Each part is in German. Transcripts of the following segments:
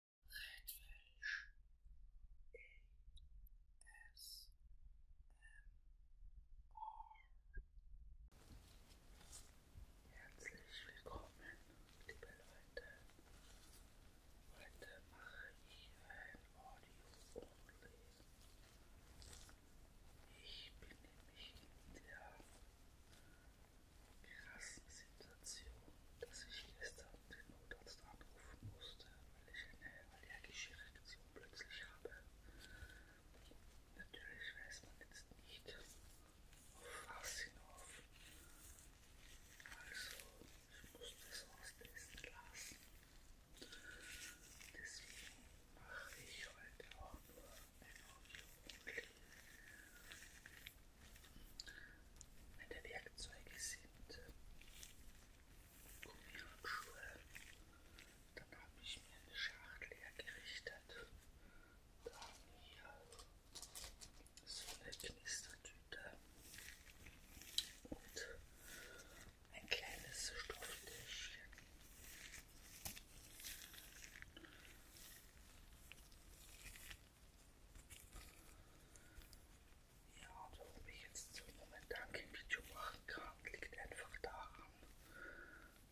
Redfish ASMR Herzlich willkommen, liebe Leute. Heute mache ich ein Audio Only. Ich bin nämlich in der krassen Situation, dass ich gestern den Notarzt anrufen musste, weil ich eine allergische Reaktion plötzlich habe. Natürlich weiß man jetzt nicht, auf was hinauf. Also, ich musste es austesten lassen. Deswegen mache ich heute auch nur ein Audio. Meine Werkzeuge sind Gummihandschuhe. Dann habe ich mir eine Schachtel hergerichtet. Dann hier so eine Knistertüte und ein kleines Stofftäschchen. Ja, und warum ich jetzt momentan kein Video machen kann, liegt einfach daran,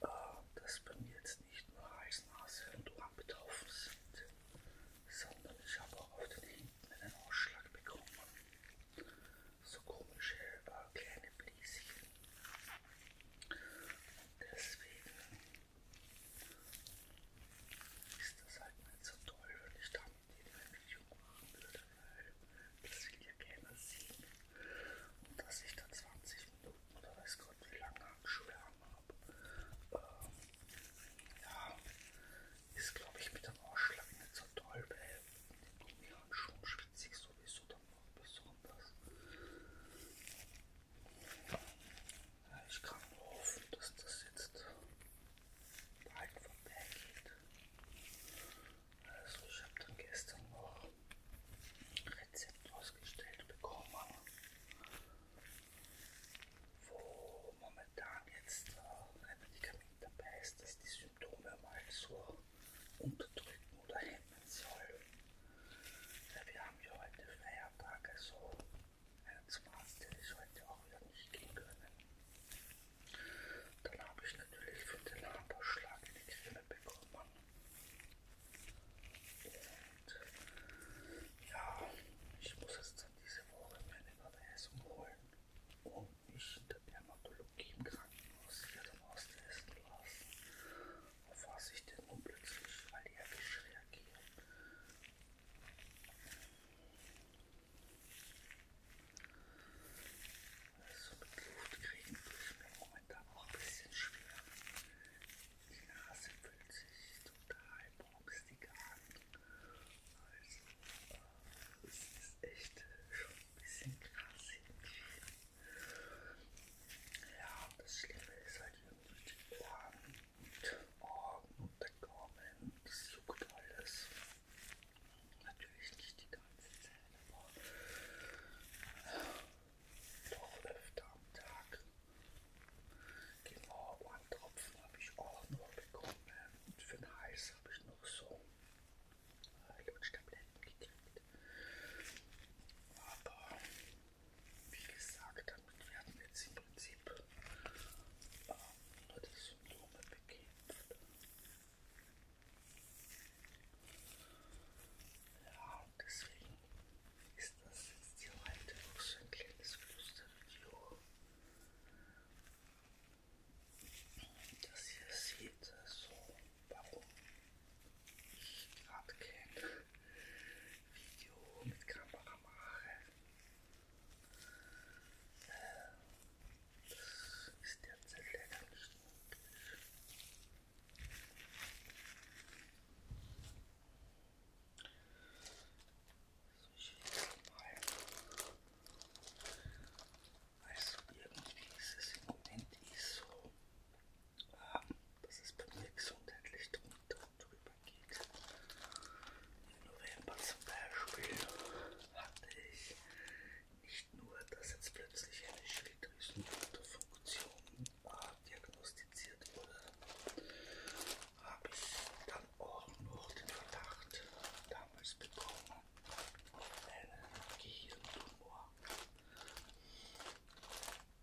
äh, dass bei mir jetzt nicht nur Hals, Nase und Ohren betroffen sind, sondern ich habe auch auf den Händen einen Ausschlag bekommen. So komische äh, kleine Bläschen. Und deswegen ist das halt nicht so toll, wenn ich damit die Entwicklung machen würde, weil das will ja keiner sehen. Und dass ich da 20 Minuten oder weiß Gott wie lange Handschuhe habe, ähm, ja, ist glaube ich mit dem Ausschlag nicht so toll, weil mit den Gummihandschuhen schwitze ich sowieso dann noch besonders. Ich kann nur hoffen, dass das jetzt bald vorbei geht. Also ich habe dann gestern noch ein Rezept ausgestellt bekommen, wo momentan jetzt äh, ein Medikament dabei ist, das die Symptome mal so unterdrücken oder hemmen soll. Ja, wir haben ja heute Feiertag, also ja, zum Arzt hätte ich heute auch wieder nicht gehen können. Dann habe ich natürlich für den Haarausschlag eine Creme bekommen. Und ja, ich muss jetzt dann diese Woche meine Überweisung holen und mich in der Dermatologie im Krankenhaus hier dann austesten lassen, auf was ich denn nun plötzlich allergisch reagiere. So mit Luft kriegen ist mir momentan auch ein bisschen schwer. Die Nase fühlt sich total bombstig an. Also, äh, es ist echt schon ein bisschen krass irgendwie. Ja, das Schlimme ist halt irgendwie die Ohren. Argen und der Gaumen, das juckt alles. Natürlich nicht die ganze Zeit, aber doch öfter am Tag. Genau, einen Tropfen habe ich auch noch bekommen und für den Hals habe ich noch so Lutschtabletten ah, gekriegt. Aber wie gesagt, damit werden jetzt im Prinzip ähm, nur die Symptome bekämpft. Ja, und deswegen ist das jetzt hier heute auch so ein kleines Flüstervideo. Dass ihr seht, so warum ich gerade kein Video mit Kamera mache. Das ist derzeit leider nicht möglich. So, ich jetzt mal. Also irgendwie ist es im Moment ist so. Ähm, dass es bei mir gesundheitlich drunter und drüber geht. Im November zum Beispiel hatte ich nicht nur, dass jetzt plötzlich eine Schilddrüsenunterfunktion äh, diagnostiziert wurde, habe ich dann auch noch den Verdacht damals bekommen auf einen Gehirntumor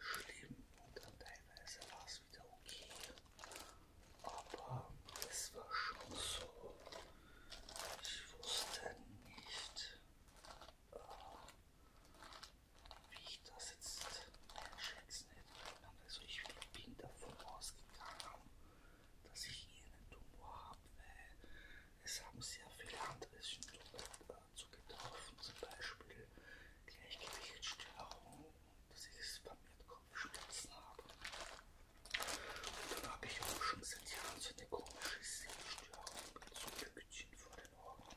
schlimm und dann teilweise war es wieder okay. Aber es war schon so, ich wusste nicht, äh, wie ich das jetzt einschätzen hätte können. Also ich bin davon ausgegangen, dass ich irgendeinen Tumor habe, weil es haben sehr viele andere Symptome, äh, zu Betroffenen, zum Beispiel Gleichgewichtsstörungen, dass ich vermehrt Kopfschmerzen habe. Und dann habe ich auch schon seit Jahren so eine komische Sehstörung mit so Lügchen vor den Augen.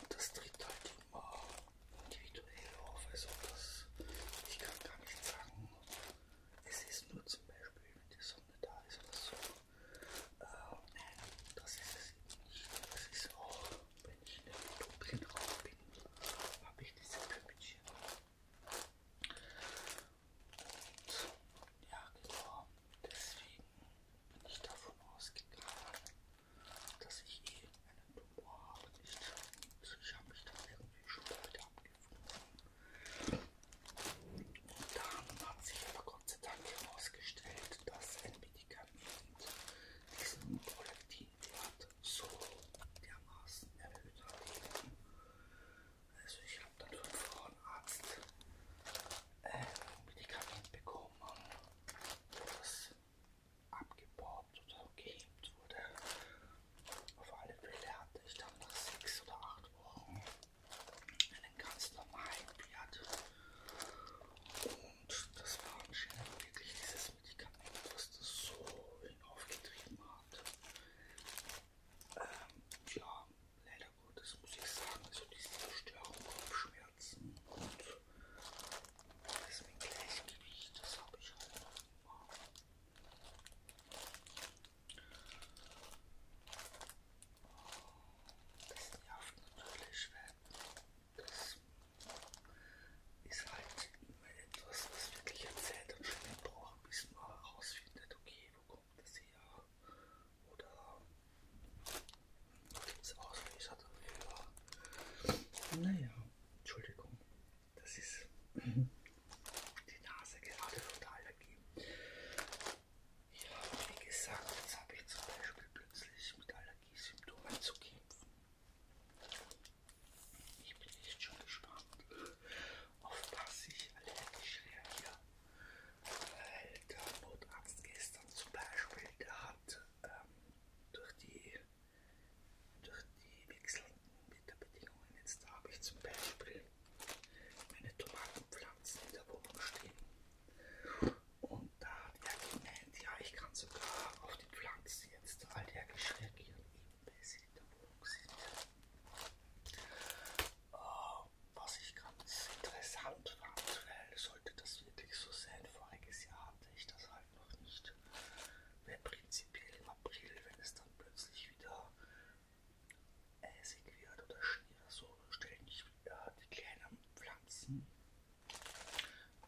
Und das tritt halt immer individuell auf, also das, ich kann gar nicht sagen, es ist nur zum Beispiel, wenn die Sonne da ist oder so. Oh nein, das ist es nicht. Das ist auch, wenn ich in der Topien drauf bin, habe ich diese Köpfchen. Und ja, genau. Deswegen bin ich davon ausgegangen, dass ich eh einen Tumor habe. Nicht. Also ich habe mich da irgendwie schon damit abgefunden. Und dann hat sich aber Gott sei Dank herausgestellt, dass ein del medikamenten diesen Prolaktinwert so dermaßen erhöht hat. Also ich habe dann vom Frauenarzt ein äh, Medikament bekommen, wo das abgebaut oder gehemmt wurde. Auf alle Fälle hatte ich dann nach sechs oder acht Wochen einen ganz normalen Blatt. Und das war anscheinend wirklich dieses Medikament, was das so hinaufgetrieben hat. Ähm, ja, leider Gottes muss ich sagen, also diese Verstörung, Kopfschmerzen und das mit Gleichgewicht, das habe ich halt noch immer das sind ja oft natürlich Schwerten. Das ist halt immer etwas, was wirklich erzählt und schnell braucht, bis man herausfindet, okay, wo kommt das her? Oder gibt es Auslöser dafür? Naja, Entschuldigung, das ist die Nase gerade total ergeben. Wie gesagt, jetzt habe ich zum Beispiel plötzlich mit Allergiesymptomen zu kämpfen. Ich bin echt schon gespannt, auf was ich allergisch reagiere. Weil der Notarzt gestern zum Beispiel, der hat ähm, durch die durch die wechselnden Wetterbedingungen. Jetzt habe ich zum Beispiel meine Tomatenpflanzen in der Wohnung stehen. Und da hat er gemeint, ja, ich kann sogar auf die Pflanzen jetzt allergisch reagieren, eben weil sie in der Wohnung sind. Uh, was ich ganz interessant fand, weil sollte das wirklich so sein, voriges Jahr hatte ich das halt noch nicht. Weil prinzipiell im April, wenn es dann plötzlich wieder eisig wird oder Schnee oder so, stellen ich ja, die kleinen Pflanzen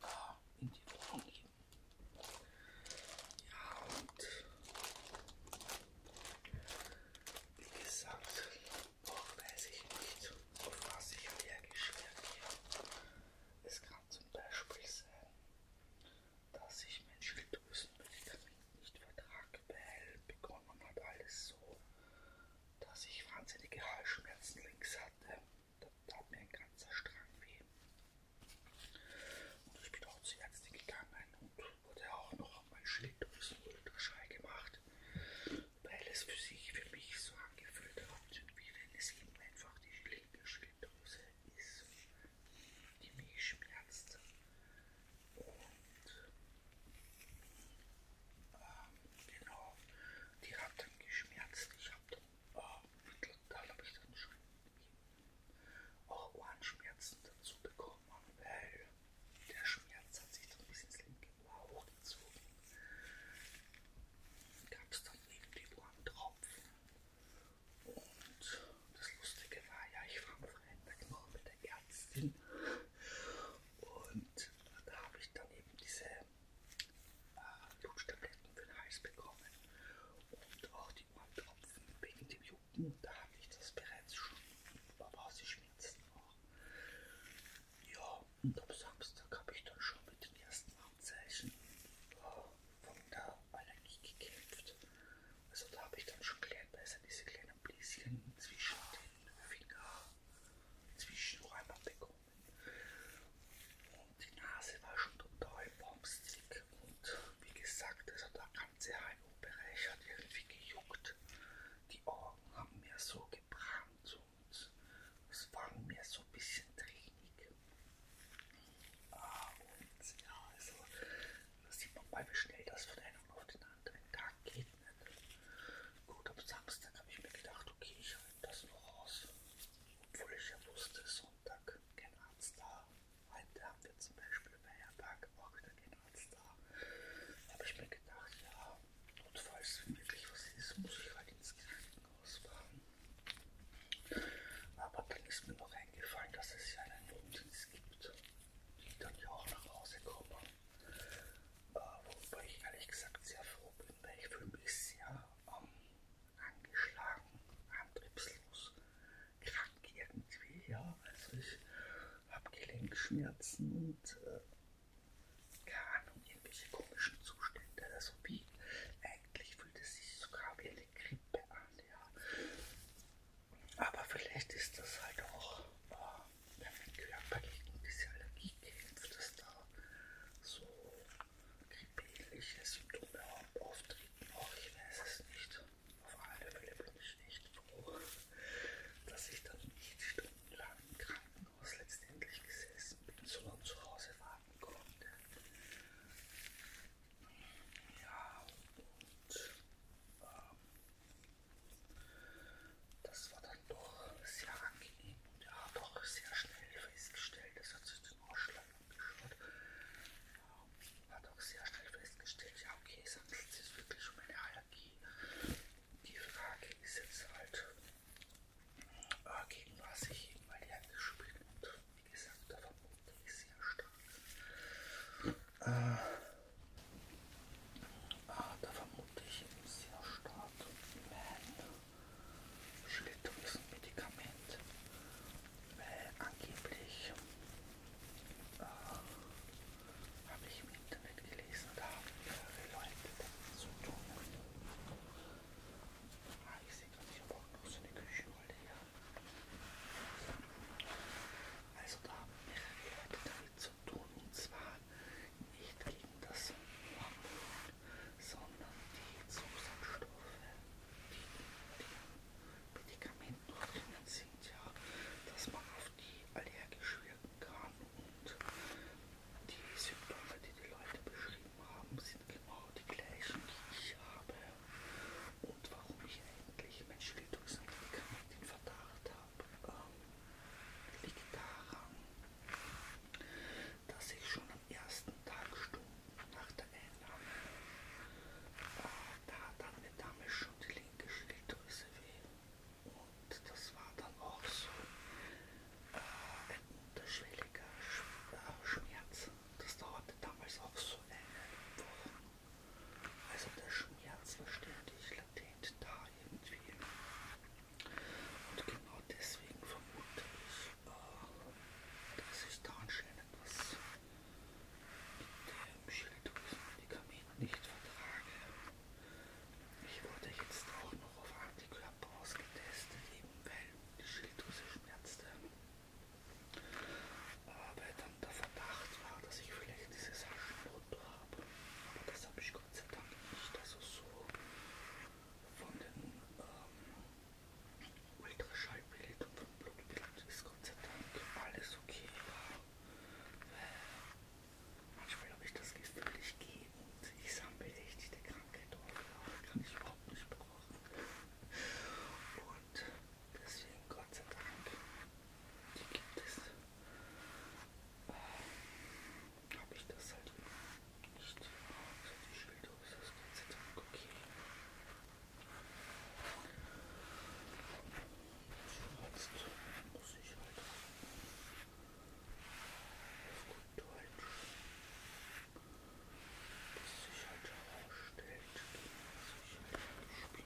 äh, in die Wohnung geben. Ja, und wie gesagt, auch weiß ich nicht, auf was ich allergisch reagiere. Es kann zum Beispiel sein, dass ich mein Schilddrüsenmedikament nicht vertrage, weil begonnen hat alles so dass ich wahnsinnige Halsschmerzen links hatte. Da tat mir ein ganzer Strang weh. Und ich bin auch zur Ärztin gegangen und wurde auch noch mein Schild durchs Ultraschall gemacht, weil es für sich, für mich so angefühlt hat, wie wenn es eben einfach die linke Schilddrüse ist, die mich schmerzt. Und ähm, genau, die hat dann geschmerzt. Ich habe dann, äh, mittlerweile habe ich dann schon auch Ohrenschmerzen dazu bekommen, weil der Schmerz hat sich dann bis ins linke Ohr hochgezogen. Gab es dann irgendwie Ohrentropfen. Und das Lustige war ja, ich war am Freitag noch mit der Ärztin und da habe ich dann eben diese äh, Lutschtabletten für den Hals bekommen und auch die Ohrentropfen wegen dem Jucken. Da habe ich das bereits schon rausgeschwitzt. Ja, und am Samstag habe ich dann schon mit den ersten Anzeichen äh, von der Allergie gekämpft. Also da habe ich dann schon klein, da ist ja diese kleinen Bläschen zwischen den Finger zwischen Räumerbekommen. Und die Nase war schon total bombstick. Und wie gesagt, also der ganze HNO-Bereich hat irgendwie gejuckt. Die Augen haben mir so gebrannt und es waren mir so ein bisschen tränig. Ah, und ja, also da sieht man mal, wie schnell das von einem von auf den anderen Tag geht nicht. Ne? Gut, am Samstag habe ich mir gedacht, okay, ich halte das noch aus. Obwohl ich ja wusste, Sonntag kein Arzt da. Heute haben wir zum Beispiel Feiertag auch wieder kein Arzt da. Habe ich mir gedacht, ja, notfalls, wenn wirklich was ist, muss ich halt ins Krankenhaus fahren. Aber dann ist mir noch eingefallen, dass es ja einen Wohnsitz gibt, die dann ja auch nach Hause kommen wobei ich ehrlich gesagt sehr froh bin, weil ich fühle mich sehr ähm, angeschlagen, antriebslos, krank irgendwie. Ja, also ich habe Gelenkschmerzen und äh, keine Ahnung, irgendwelche komischen Zustände. Also wie eigentlich fühlt es sich sogar wie eine Grippe an. Ja. Aber vielleicht ist das halt auch. Äh, wenn Körper gegen diese Allergie kämpft, dass da so grippeähnliche Symptome auftreten. Auch ich weiß es nicht. Auf alle Fälle bin ich nicht froh, dass ich dann nicht stundenlang im Krankenhaus letztendlich gesessen bin, sondern zu Hause warten konnte. Ja, und ähm, das war dann doch sehr angenehm und er hat auch sehr schnell festgestellt, das hat sich den Ausschlag angeschaut, hat auch sehr schnell festgestellt, ja okay, es handelt sich wirklich um eine Allergie. Die Frage ist jetzt halt, äh, gegen was ich eben allergisch bin und wie gesagt, der Vermut ist sehr stark. Äh, Ah, da vermute ich sehr stark mein Schilddrüsenmedikament, weil angeblich äh, habe ich im Internet gelesen, da haben mehrere Leute damit zu tun. Ah, ich sehe gerade, ich habe auch noch so eine Küchenrolle hier. Also da haben mehrere Leute damit zu zu tun. Und zwar nicht gegen das Hormon, sondern die Zusatzstoffe, die in den Medikamenten drinnen sind, ja, dass man auf die allergisch wirken kann. Und die Symptome, die die Leute beschrieben haben, sind genau die gleichen, die ich habe. Und warum ich eigentlich mein Schilddrüsenmedikament in Verdacht habe, ähm, liegt daran, dass ich schon am ersten Tag Stunden nach der Einnahme, äh, da hat dann mir damals schon die linke Schilddrüse weh. Und das war dann auch so äh, ein unterschwelliger Sch äh, Schmerz. Das dauerte damals auch so eine Woche. Also der Schmerz verständigt latent da irgendwie. Und genau deswegen vermute ich, äh, dass sich da anscheinend was mit dem Schilddrüsenmedikament nicht vertrage. Ich wurde jetzt auch noch auf Antikörper ausgetestet, eben weil die Schilddrüse schmerzte. Aber dann der Verdacht war, dass ich vielleicht dieses Aschenbrot habe. Aber das habe ich Gott sei Dank nicht. Also so von den ähm, Ultraschallbild und vom Blutbild ist Gott sei Dank alles okay. Manchmal habe ich das Gefühl, ich gehe und ich sammle echt die Krankheit auf. Kann ich überhaupt nicht brauchen. Und deswegen Gott sei Dank, die gibt es habe ich das halt nicht. Also die Schilddose ist Gott sei Dank okay. Schwarz muss ich halt auf gut Deutsch, bis sich halt herausstellt, dass ich halt gespielt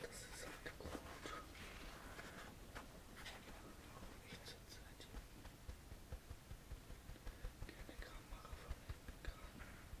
Das ist halt gut. Ich zur Zeit keine Kamera verwenden kann. Ach,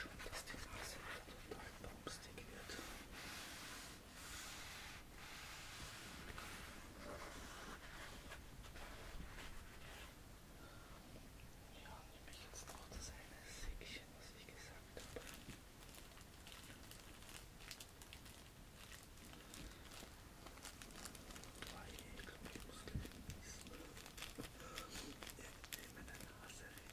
Schon, dass die Nase total bumstig wird. Ja, nehme ich jetzt noch das eine Säckchen, was ich gesagt habe. Weil ich glaube, ich muss gleich niesen. Irgendwie meine Nase riecht.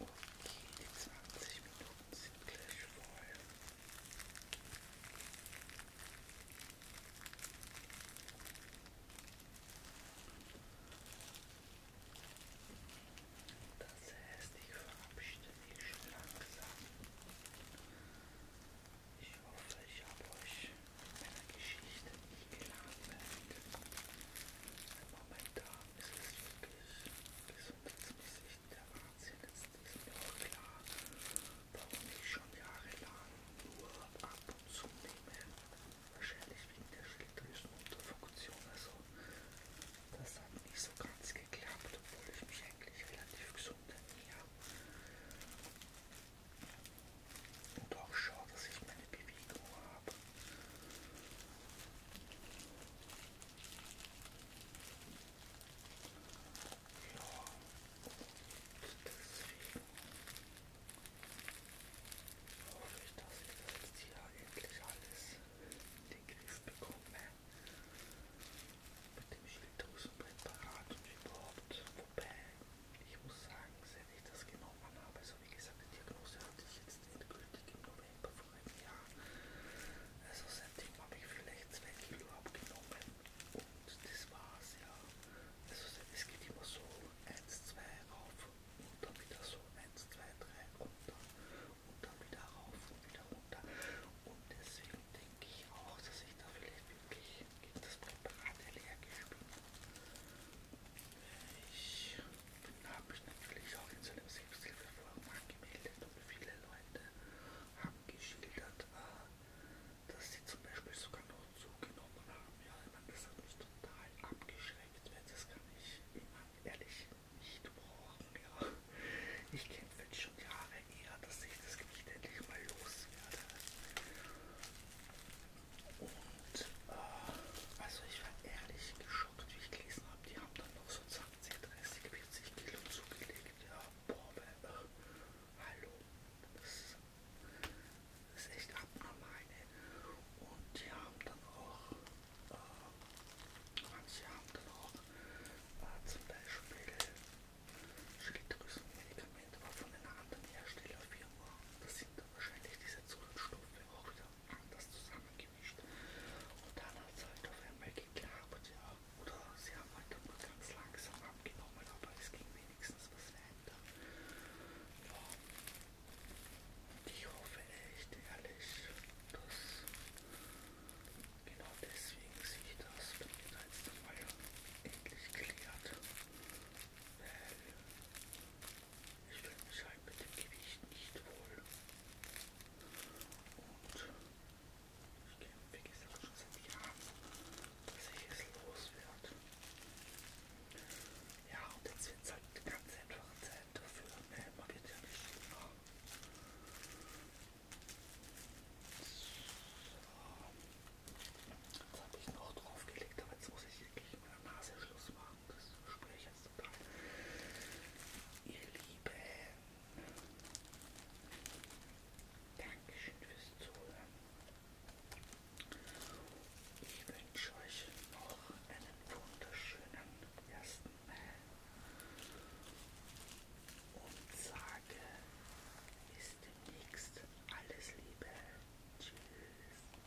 Okay, die 20 Minuten sind gleich voll. Das heißt, ich verabschiede mich schon langsam. Ich hoffe, ich habe euch mit meiner Geschichte nicht gelangweilt. Momentan es ist wirklich gesundheitsmäßig der Wahnsinn. Jetzt ist mir auch klar, warum ich schon jahrelang nur ab und zu nehme. Wahrscheinlich wegen der Schilddrüsenunterfunktion. Also, das hat nicht so ganz geklappt, obwohl ich mich eigentlich relativ gesund ernähre. Und auch schaue, dass ich meine Bewegung habe deswegen hoffe ich, dass ich das jetzt hier endlich alles in den Griff bekomme. Mit dem Schilddrüsenpräparat und überhaupt. Wobei, ich muss sagen, seit ich das genommen habe, ist also wie gesagt, die Diagnose hatte ich jetzt endgültig im November vor einem Jahr. Also seitdem habe ich vielleicht zwei Kilo abgenommen und das war's ja. Also es geht immer so 1, 2 rauf und dann wieder so 1, 2, 3 runter und dann wieder rauf und wieder runter. Und deswegen denke ich auch, dass ich da vielleicht wirklich gegen das Präparat allergisch bin. Ich habe mich natürlich auch in so einem Selbsthilfeforum angemeldet und viele Leute haben geschildert, äh, dass sie zum Beispiel sogar noch zugenommen haben. Ja, ich meine, das hat mich total abgeschreckt, weil das kann ich immer ehrlich nicht brauchen. Ja. Ich kämpfe jetzt schon Jahre eher, dass ich das Gewicht endlich mal loswerde. Und äh, also ich war ehrlich geschockt, wie ich gelesen habe. Die haben dann noch so 20, 30, 40 Kilo zugelegt. Ja, boah, äh, hallo. Das, das ist echt abnormal. Ne? Und die haben dann auch, äh, manche haben dann auch äh, zum Beispiel Schilddrüsenmedikamente, aber von einer anderen Herstellerfirma. Das sind dann wahrscheinlich diese Zusatzstoffe auch wieder anders zusammengemischt. Und dann hat es halt auf einmal geklappt, ja. Oder sie haben halt nur ganz langsam abgenommen, aber es ging wenigstens was weiter. Ja. Und ich hoffe echt ehrlich, dass genau deswegen sich das bei mir da jetzt einmal endlich klärt. Weil ich fühle mich halt mit dem Gewicht nicht wohl. Und ich gehe, wie gesagt, schon seit Jahren, dass ich es loswerde. Ja, und jetzt wird es halt eine ganz einfache Zeit dafür. Ne? Man wird ja nicht immer. So. Jetzt habe ich noch draufgelegt, aber jetzt muss ich wirklich mit der Nase Schluss machen das spüre ich jetzt total. Ihr Lieben, Dankeschön fürs Zuhören. Ich wünsche euch noch einen wunderschönen ersten Mai und sage bis demnächst alles Liebe. Tschüss.